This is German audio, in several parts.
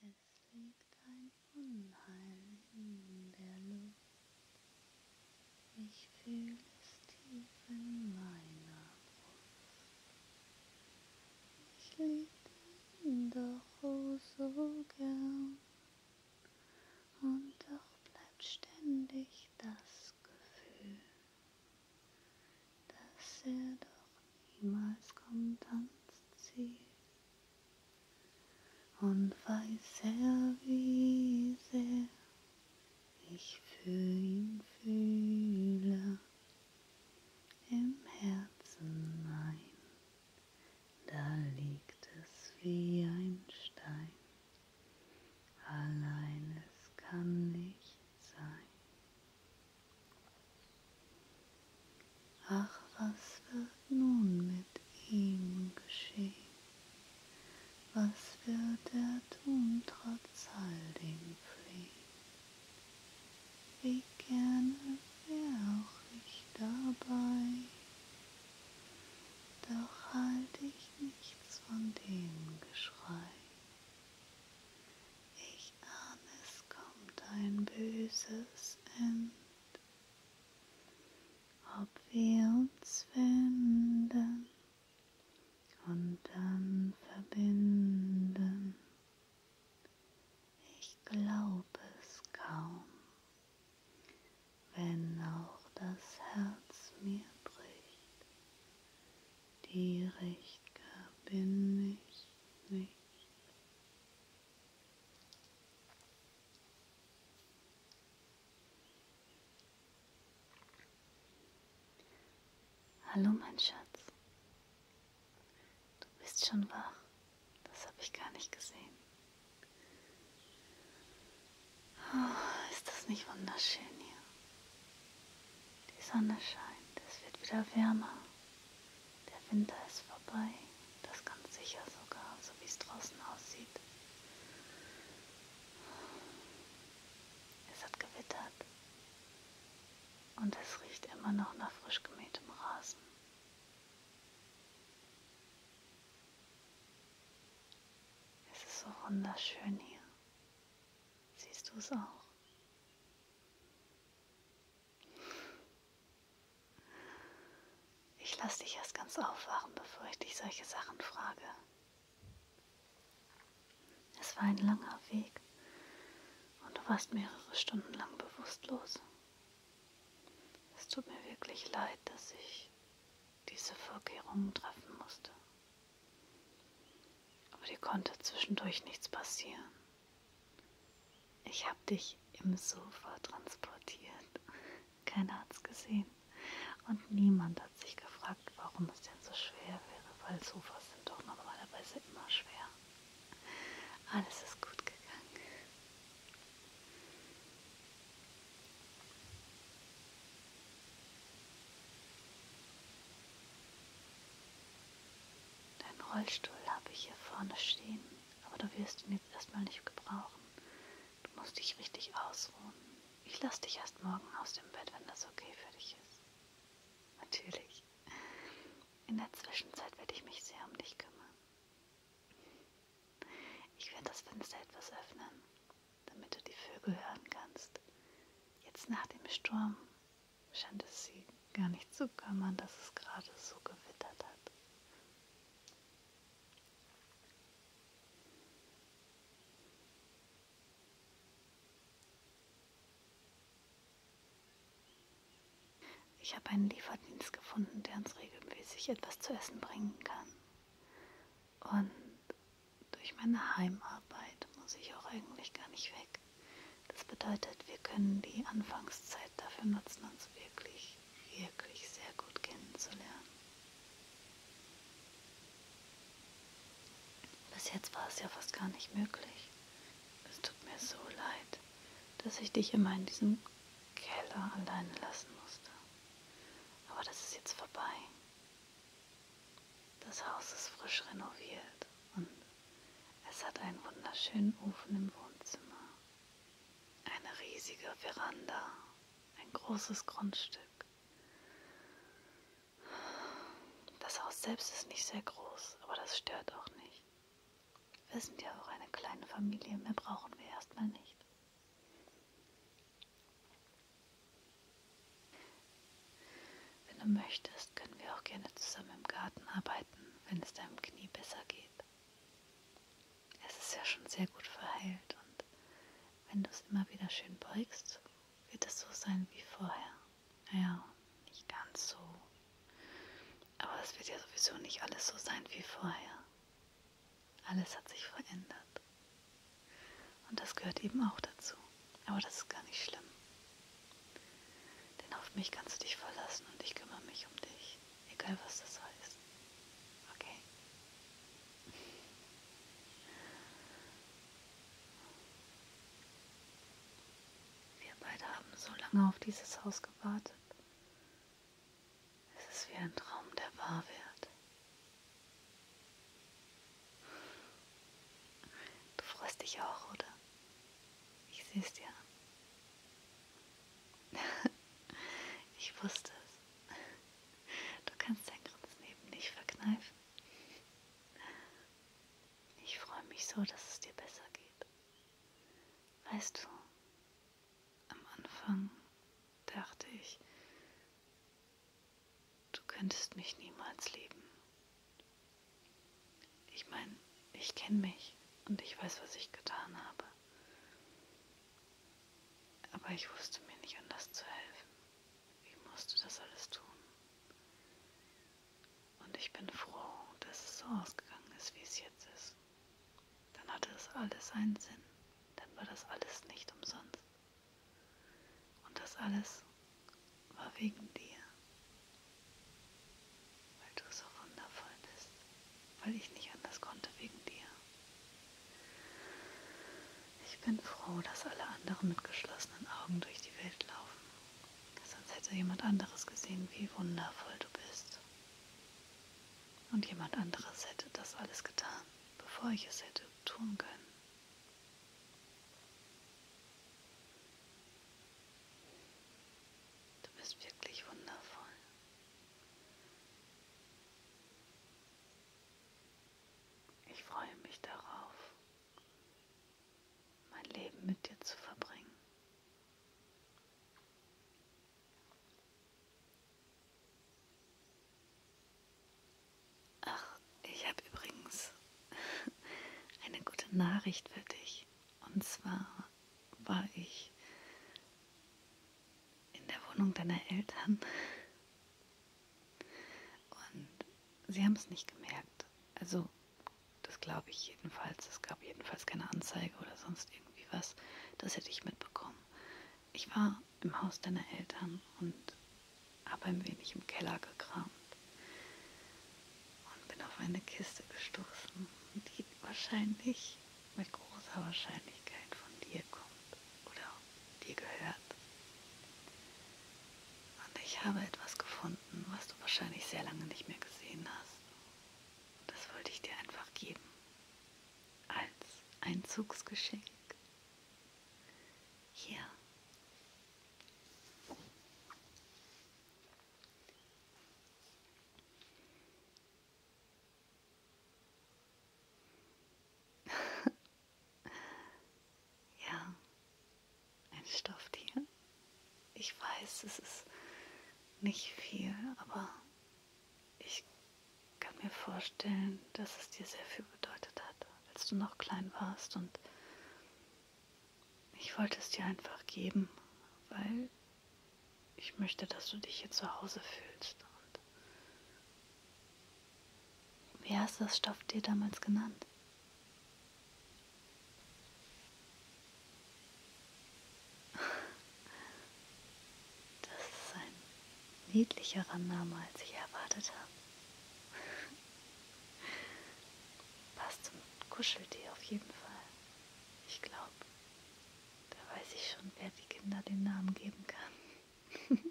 Es liegt ein Unheil in der Luft. Ich fühle es tief in meiner Brust. Ich liebte ihn doch oh so gern. Und doch bleibt ständig das Gefühl dass er doch niemals kommt ans Ziel. Und weiß er, wie sehr ich für ihn fühle, im Herzen mein, da liegt es wie ein Stein, allein es kann nicht sein. Ach, was wird nun mit ihm geschehen? Was wird er tun trotz all dem Flehen? Wie gerne wäre auch ich dabei, doch halt ich nichts von dem Geschrei. Ich ahne, es kommt ein böses End. Ob wir uns wenden und dann verbinden. Ich glaube es kaum, wenn auch das Herz mir bricht die recht gab, bin ich nicht. Hallo mein Schatz, du bist schon wach, das habe ich gar nicht gesehen. Oh, ist das nicht wunderschön hier? Die Sonne scheint, es wird wieder wärmer. Der Winter ist vorbei, das ganz sicher sogar, so wie es draußen aussieht. Es hat gewittert und es riecht immer noch nach frisch gemähtem Rasen. Es ist so wunderschön hier. Siehst du es auch? Ich lasse dich erst ganz aufwachen, bevor ich dich solche Sachen frage. Es war ein langer Weg und du warst mehrere Stunden lang bewusstlos. Es tut mir wirklich leid, dass ich diese Vorkehrungen treffen musste. Aber dir konnte zwischendurch nichts passieren. Ich habe dich im Sofa transportiert. Keiner hat's gesehen. Und niemand hat sich gefragt, warum es denn so schwer wäre, weil Sofas sind doch normalerweise immer schwer. Alles ist gut gegangen. Deinen Rollstuhl habe ich hier vorne stehen, aber du wirst ihn jetzt erstmal nicht gebrauchen. Du musst dich richtig ausruhen. Ich lasse dich erst morgen aus dem Bett, wenn das okay für dich ist. Natürlich. In der Zwischenzeit werde ich mich sehr um dich kümmern. Ich werde das Fenster etwas öffnen, damit du die Vögel hören kannst. Jetzt nach dem Sturm scheint es sie gar nicht zu kümmern, dass es gerade so gewittert hat. Ich habe einen Lieferdienst gefunden, der uns regelmäßig etwas zu essen bringen kann. Und durch meine Heimarbeit muss ich auch eigentlich gar nicht weg. Das bedeutet, wir können die Anfangszeit dafür nutzen, uns wirklich, wirklich sehr gut kennenzulernen. Bis jetzt war es ja fast gar nicht möglich. Es tut mir so leid, dass ich dich immer in diesem Keller alleine lassen musste. Aber das ist jetzt vorbei. Das Haus ist frisch renoviert und es hat einen wunderschönen Ofen im Wohnzimmer, eine riesige Veranda, ein großes Grundstück. Das Haus selbst ist nicht sehr groß, aber das stört auch nicht. Wir sind ja auch eine kleine Familie, mehr brauchen wir erstmal nicht. Wenn du möchtest, können wir auch gerne zusammen im Garten arbeiten, wenn es deinem Knie besser geht. Es ist ja schon sehr gut verheilt und wenn du es immer wieder schön beugst, wird es so sein wie vorher. Ja, nicht ganz so. Aber es wird ja sowieso nicht alles so sein wie vorher. Alles hat sich verändert. Und das gehört eben auch dazu. Aber das ist gar nicht schlimm. Denn auf mich kannst du dich verlassen und ich kümmere mich um dich. Egal was das heißt. Okay? Wir beide haben so lange auf dieses Haus gewartet. Es ist wie ein Traum, der wahr wird. Du freust dich auch, oder? Ich sehe es dir an. ich wusste es. Du kannst dein Grinsen eben nicht verkneifen. Ich freue mich so, dass es dir besser geht. Weißt du, am Anfang dachte ich, Du könntest mich niemals lieben. Ich meine, ich kenne mich und ich weiß, was ich getan habe. Aber ich wusste mir nicht anders zu helfen. Ich musste das alles tun. Und ich bin froh, dass es so ausgegangen ist, wie es jetzt ist. Dann hatte es alles einen Sinn. Dann war das alles nicht umsonst. Und das alles war wegen dir, weil du so wundervoll bist, weil ich nicht anders konnte wegen dir. Ich bin froh, dass alle anderen mit geschlossenen Augen durch die Welt laufen, sonst hätte jemand anderes gesehen, wie wundervoll du bist. Und jemand anderes hätte das alles getan, bevor ich es hätte tun können. Du bist wirklich wundervoll. Ich freue mich darauf, mein Leben mit dir zu verbringen. Ach, ich habe übrigens eine gute Nachricht für dich. Und zwar war ich in der Wohnung deiner Eltern und sie haben es nicht gemerkt. Also, das glaube ich jedenfalls. Es gab jedenfalls keine Anzeige oder sonst irgendwie was. Das hätte ich mitbekommen. Ich war im Haus deiner Eltern und habe ein wenig im Keller gekramt und bin auf eine Kiste gestoßen, die wahrscheinlich mit großer Wahrscheinlichkeit von dir kommt oder dir gehört. Und ich habe etwas gefunden, was du wahrscheinlich sehr lange nicht mehr gesehen hast. Das wollte ich dir einfach geben. Als Einzugsgeschenk hier. ja, ein Stofftier. Ich weiß, es ist nicht viel, aber ich kann mir vorstellen, dass es dir sehr viel bedeutet hat, als du noch klein warst. Und ich wollte es dir einfach geben, weil ich möchte, dass du dich hier zu Hause fühlst. Und wie hast du das Stofftier damals genannt? Das ist ein niedlicherer Name, als ich erwartet habe. Passt zum Kuscheltier auf jeden Fall. Ich glaube, da weiß ich schon, wer die Kinder den Namen geben kann.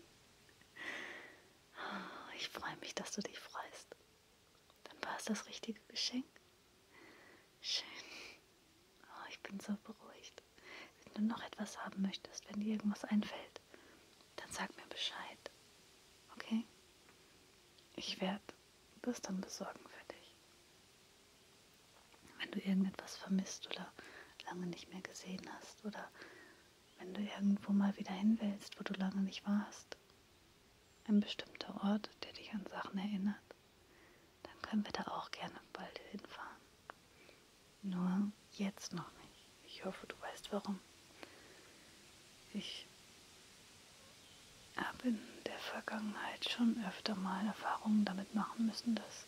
Ah, ich freue mich, dass du dich freust. Dann war es das richtige Geschenk. Schön. Oh, ich bin so beruhigt hast, wenn du noch etwas haben möchtest, wenn dir irgendwas einfällt, dann sag mir Bescheid. Okay? Ich werde das dann besorgen für dich. Wenn du irgendetwas vermisst oder lange nicht mehr gesehen hast oder wenn du irgendwo mal wieder hin willst, wo du lange nicht warst, ein bestimmter Ort, der dich an Sachen erinnert, dann können wir da auch gerne bald hinfahren. Nur jetzt noch nicht. Ich hoffe, du weißt warum. Ich habe in der Vergangenheit schon öfter mal Erfahrungen damit machen müssen, dass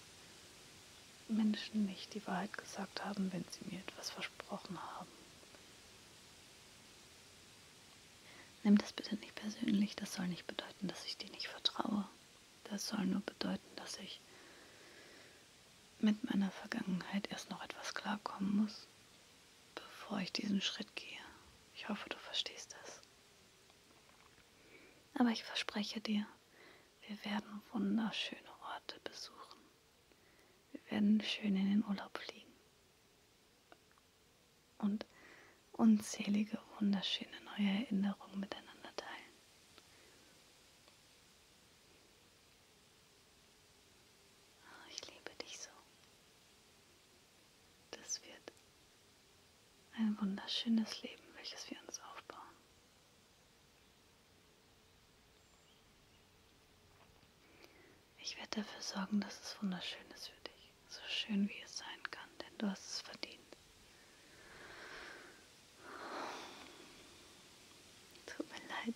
Menschen nicht die Wahrheit gesagt haben, wenn sie mir etwas versprochen haben. Nimm das bitte nicht persönlich, das soll nicht bedeuten, dass ich dir nicht vertraue. Das soll nur bedeuten, dass ich mit meiner Vergangenheit erst noch etwas klarkommen muss, bevor ich diesen Schritt gehe. Ich hoffe, du verstehst das. Aber ich verspreche dir, wir werden wunderschöne Orte besuchen. Wir werden schön in den Urlaub fliegen. Und unzählige wunderschöne neue Erinnerungen miteinander teilen. Oh, ich liebe dich so. Das wird ein wunderschönes Leben, welches wir uns aufbauen. Ich werde dafür sorgen, dass es wunderschön ist für dich. So schön wie es sein kann, denn du hast es verdient. Tut mir leid.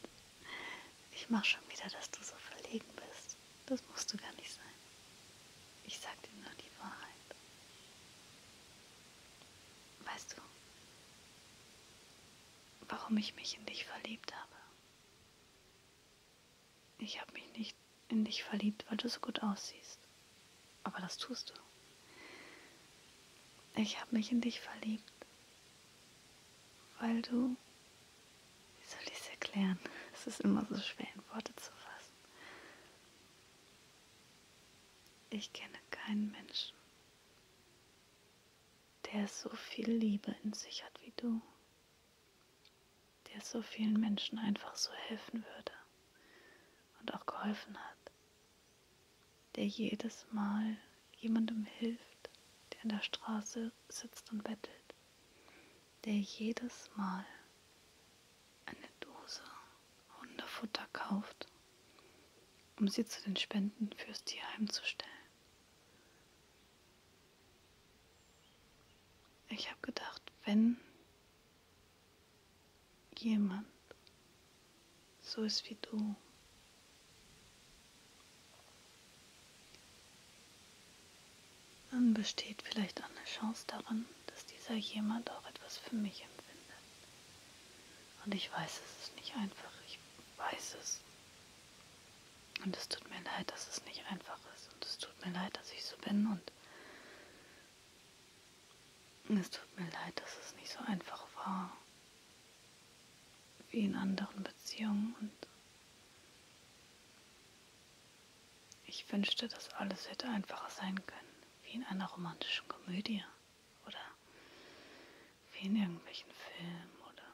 Ich mache schon wieder, dass du so verlegen bist. Das musst du gar nicht sein. Ich sag dir nur die Wahrheit. Weißt du, warum ich mich in dich verliebt habe? Ich habe mich nicht in dich verliebt, weil du so gut aussiehst. Aber das tust du. Ich habe mich in dich verliebt, weil du... Wie soll ich es erklären? Es ist immer so schwer in Worte zu fassen. Ich kenne keinen Menschen, der so viel Liebe in sich hat wie du, der so vielen Menschen einfach so helfen würde, und auch geholfen hat, der jedes Mal jemandem hilft, der an der Straße sitzt und bettelt, der jedes Mal eine Dose Hundefutter kauft, um sie zu den Spenden fürs Tierheim zu stellen. Ich habe gedacht, wenn jemand so ist wie du. Dann besteht vielleicht auch eine Chance darin, dass dieser jemand auch etwas für mich empfindet. Und ich weiß, es ist nicht einfach. Ich weiß es. Und es tut mir leid, dass es nicht einfach ist. Und es tut mir leid, dass ich so bin. Und es tut mir leid, dass es nicht so einfach war wie in anderen Beziehungen und ich wünschte, dass alles hätte einfacher sein können, wie in einer romantischen Komödie oder wie in irgendwelchen Filmen oder.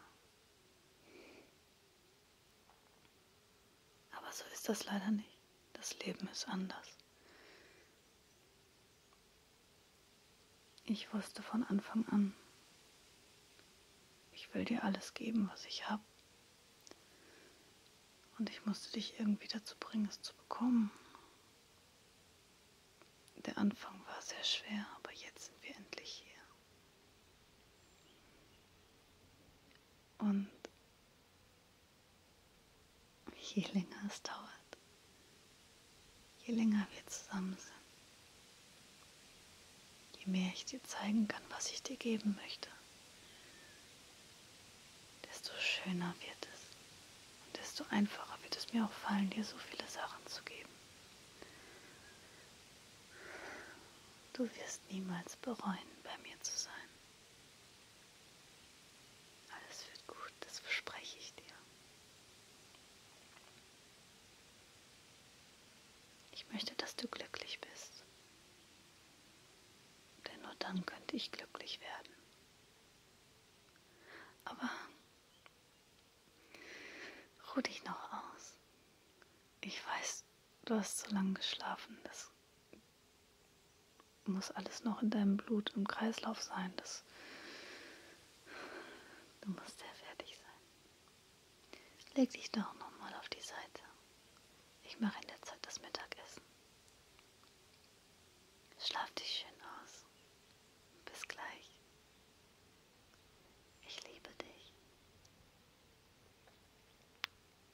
Aber so ist das leider nicht. Das Leben ist anders. Ich wusste von Anfang an, ich will dir alles geben, was ich habe. Und ich musste dich irgendwie dazu bringen, es zu bekommen. Der Anfang war sehr schwer, aber jetzt sind wir endlich hier. Und Je länger es dauert, je länger wir zusammen sind, je mehr ich dir zeigen kann, was ich dir geben möchte, desto schöner wird es und desto einfacher wird es mir auch fallen, dir so viele Sachen zu geben. Du wirst niemals bereuen, bei mir zu sein. Alles wird gut, das verspreche ich dir. Ich möchte, dass du glücklich bist. Denn nur dann könnte ich glücklich werden. Aber ruh dich noch aus. Ich weiß, du hast so lange geschlafen, das muss alles noch in deinem Blut im Kreislauf sein. Das, du musst sehr fertig sein. Leg dich doch nochmal auf die Seite. Ich mache in der Zeit das Mittagessen. Schlaf dich schön aus. Bis gleich. Ich liebe dich.